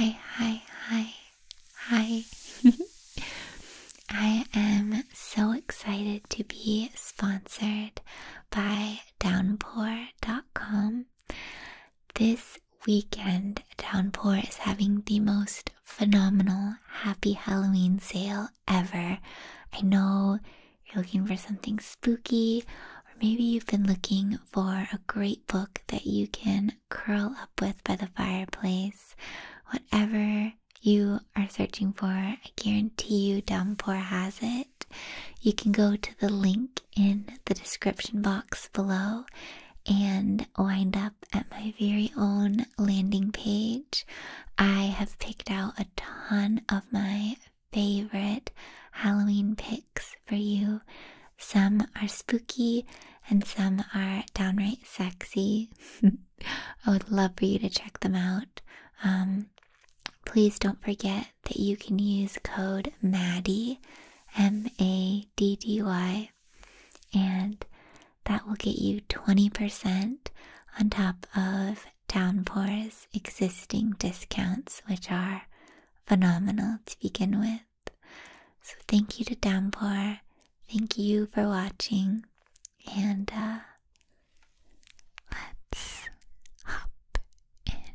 Hi, hi, hi, hi. I am so excited to be sponsored by Downpour.com. This weekend, Downpour is having the most phenomenal Happy Halloween sale ever. I know you're looking for something spooky, or maybe you've been looking for a great book that you can curl up with by the fireplace. Whatever you are searching for, I guarantee you Downpour has it. You can go to the link in the description box below and wind up at my very own landing page. I have picked out a ton of my favorite Halloween picks for you. Some are spooky and some are downright sexy. I would love for you to check them out. Um, Please don't forget that you can use code MADDY, M A D D Y, and that will get you 20% on top of Downpour's existing discounts, which are phenomenal to begin with. So, thank you to Downpour. Thank you for watching. And uh, let's hop in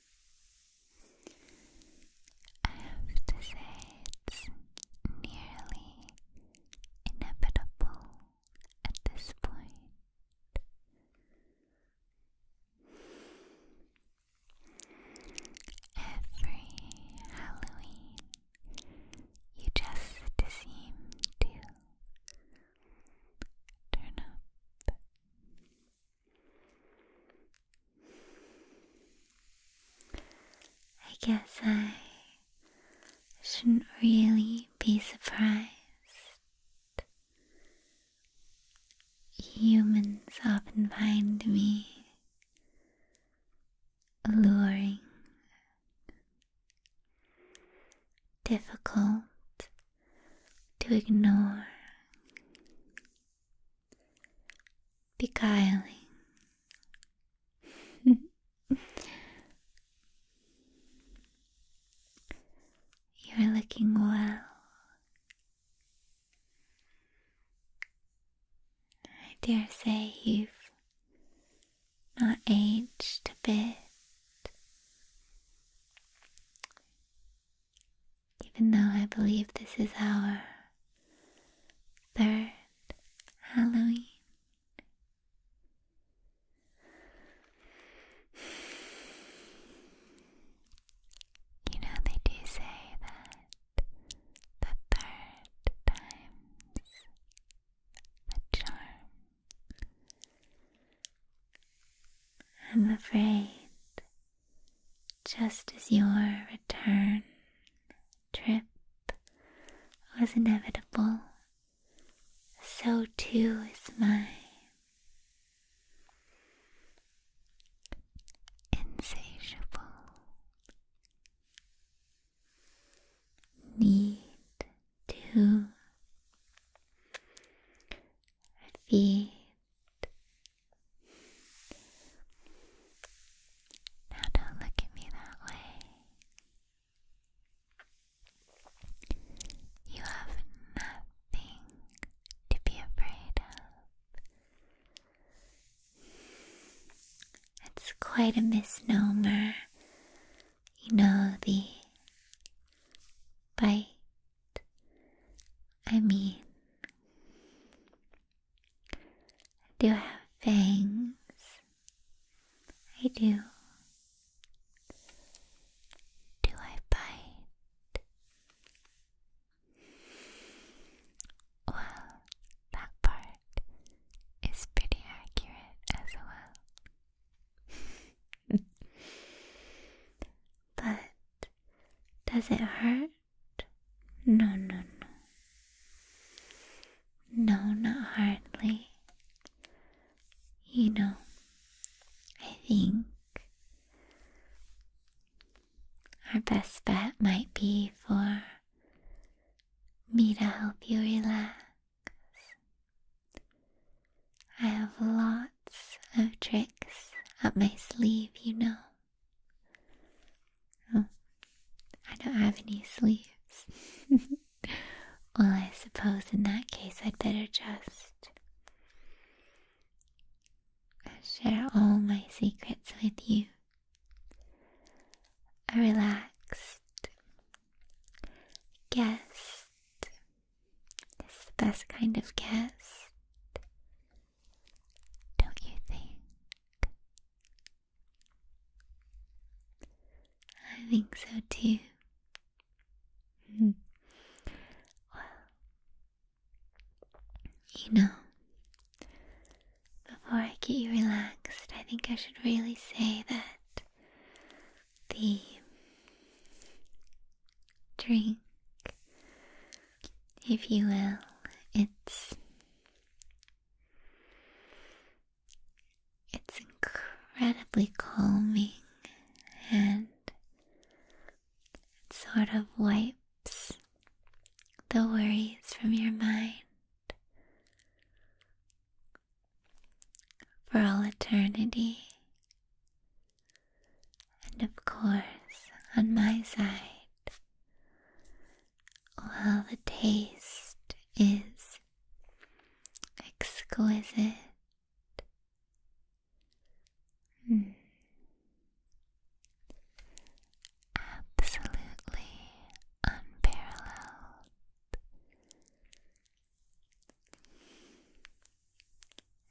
I have to say, it's nearly inevitable at this point. Every Halloween, you just seem to turn up. I guess I shouldn't really be surprised. Humans often find me alluring, difficult to ignore, beguiling. You're looking well. I dare say you've not aged a bit even though I believe this is our third Halloween. You know, they do say that the third time's the charm. I'm afraid just as your return trip was inevitable, so too is mine. Insatiable need to feet. Now, don't look at me that way. You have nothing to be afraid of. It's quite a misnomer. You know, the bite I mean, do I have fangs. I do. Do I bite? Well, that part is pretty accurate as well. but does it hurt? No, no, no. No, not hardly. You know, I think our best bet might be for me to help you relax. I have lots of tricks up my sleeve, you know. Hmm. I don't have any sleeves. well, I suppose in that case I'd better just share all my secrets with you. A relaxed guest this is the best kind of guest, don't you think? I think so too. Hmm. well, you know, before I get you relaxed, I think I should really say that the drink, if you will. It's it's incredibly calming and it sort of wipes the worries from your mind for all eternity and of course, on my side, well, the taste is exquisite. Hmm, absolutely unparalleled.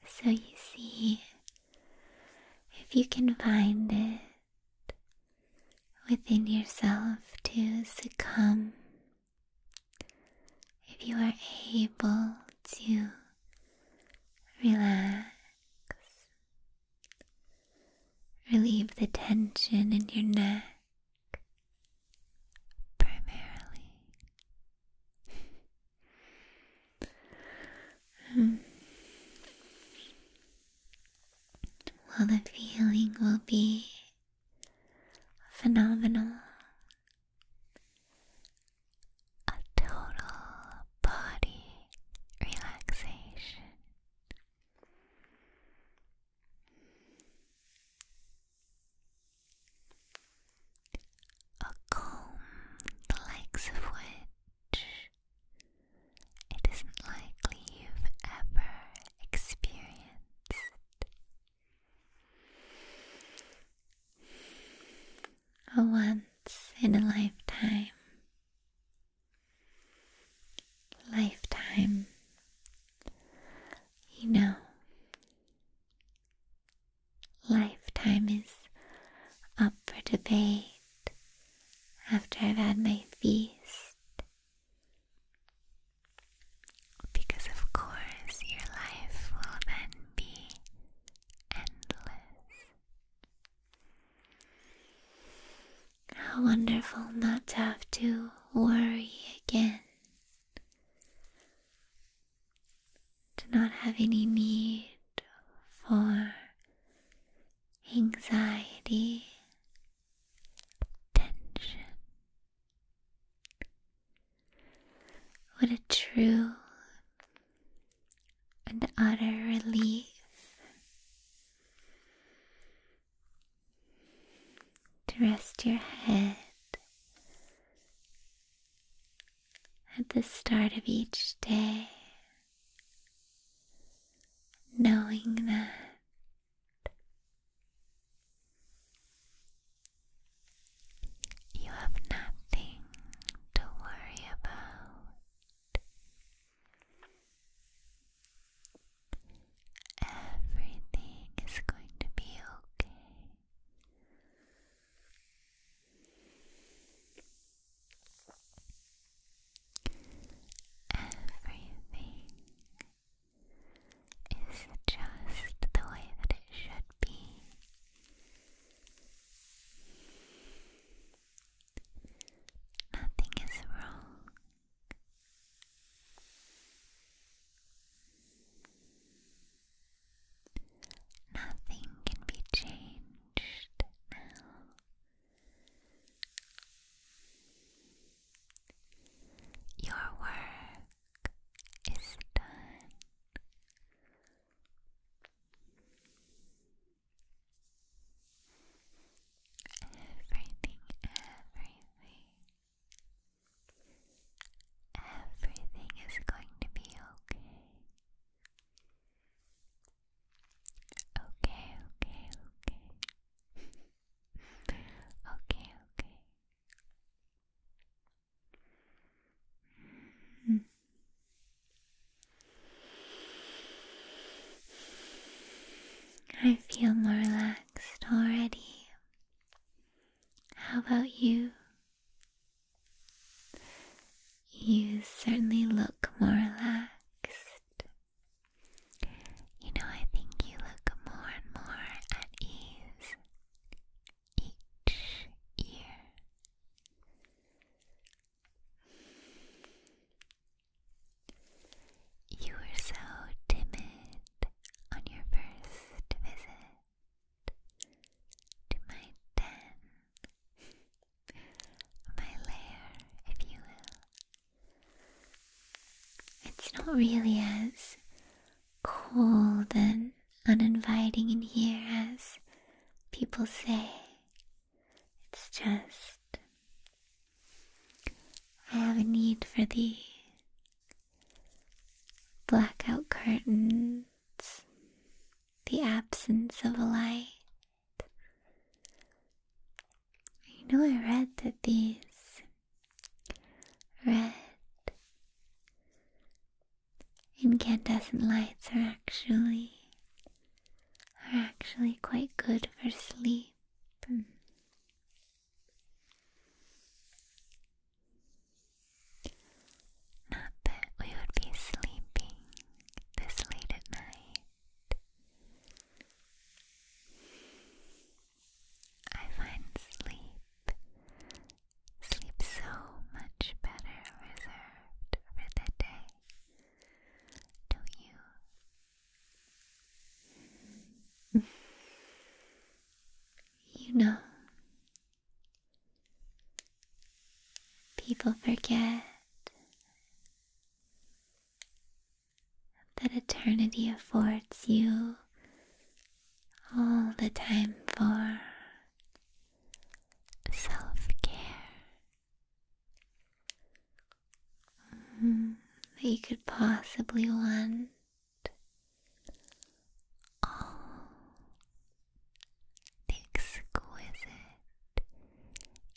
So you see, if you can find it within yourself to succumb, if you are able to relax, relieve the tension in your neck primarily. hmm. Well, the feeling will be phenomenal. A total body relaxation. A comb the likes of which it isn't likely you've ever experienced. A once in a lifetime. Lifetime. You know, Lifetime is up for debate after I've had my feast. Because, of course, your life will then be endless. How wonderful not to have to worry again. Do not have any need for anxiety, tension. What a true and utter relief to rest your head at the start of each day, knowing that. You have nothing to worry about. Everything is going to be okay. Everything is just the way that it should be. Nothing is wrong. Nothing can be changed now. Your work is done. Everything, everything Everything is going to be okay. Okay, okay, okay. okay, hmm. I feel more relaxed already. How about you? You certainly look more relaxed. You know, I think you look more and more at ease each year. You were so timid on your first visit to my den, my lair, if you will. It's not really as cold and uninviting in here as people say. It's just. I have a need for thee blackout curtains, the absence of light. I know, I read that these red incandescent lights are actually are actually quite good for sleep. Not that we would be sleeping this late at night. I find sleep, sleep so much better reserved for the day. do you? You know, people forget that eternity affords you all the time for self care. Mm-hmm. that you could possibly want the exquisite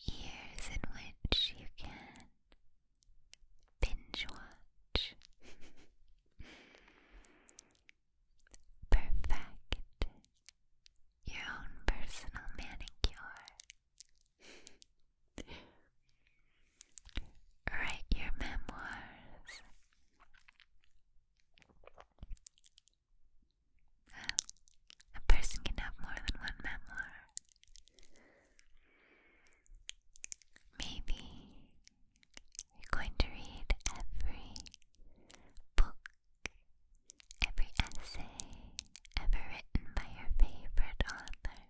years in which you can binge watch. Perfect your own personal manicure. Write your memoirs. a person can have more than one memoir. Maybe you're going to read every book, every essay ever written by your favorite author.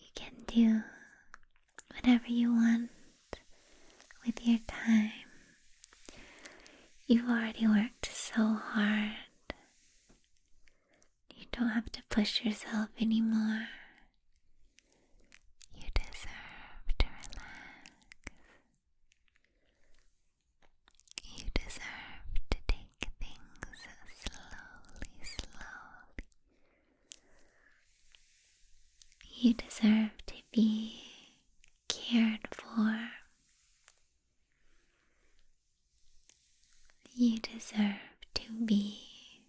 You can do whatever you want with your time. You've already worked so hard. You don't have to push yourself anymore. You deserve to relax. You deserve to take things slowly, slowly. You deserve to be cared for. You deserve to be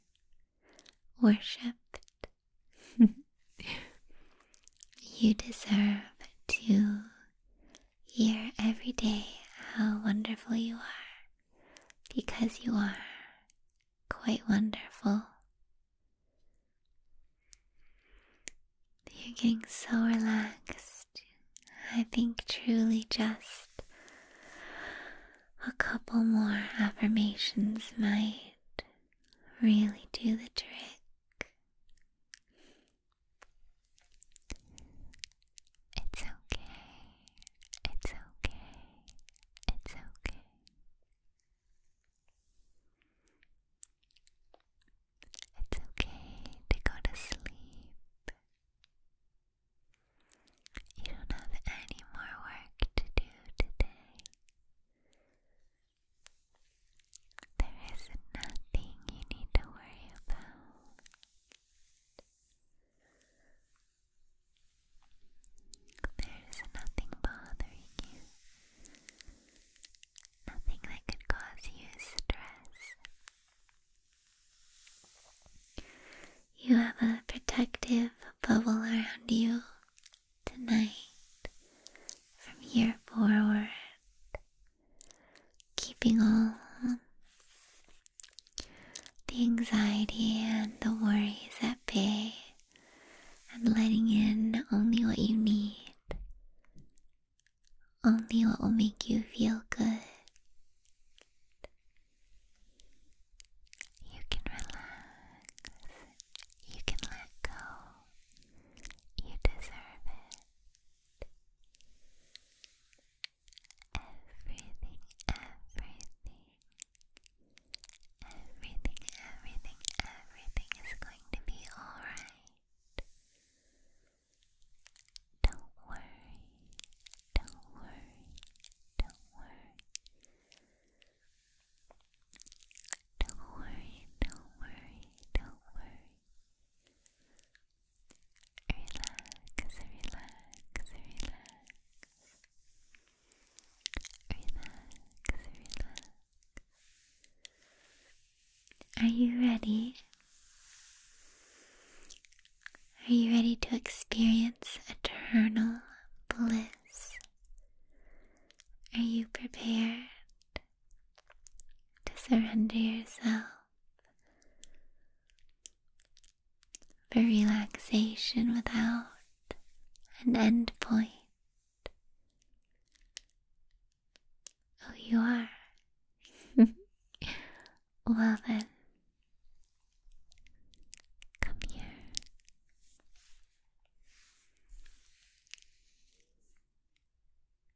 worshipped. you deserve to hear every day how wonderful you are, because you are quite wonderful. You're getting so relaxed. I think truly just a couple more affirmations might really do the trick. It's okay. It's okay. It's okay. It's okay to go to sleep. You don't have any more work to do today. There is nothing you need to worry about. There's nothing bothering you, nothing that could cause you stress. You have a protective bubble around you tonight from here forward keeping all the anxiety and the worries at bay and letting in only what you need, only what will make you feel good. You can relax, you can let go, you deserve it. Everything, everything, everything, everything, everything is going to be alright. Don't worry, don't worry, don't worry. Don't worry, don't worry, don't worry. Are you ready? Are you ready to experience eternal bliss? Are you prepared to surrender yourself for relaxation without an end point. Oh, you are. well, then, come here.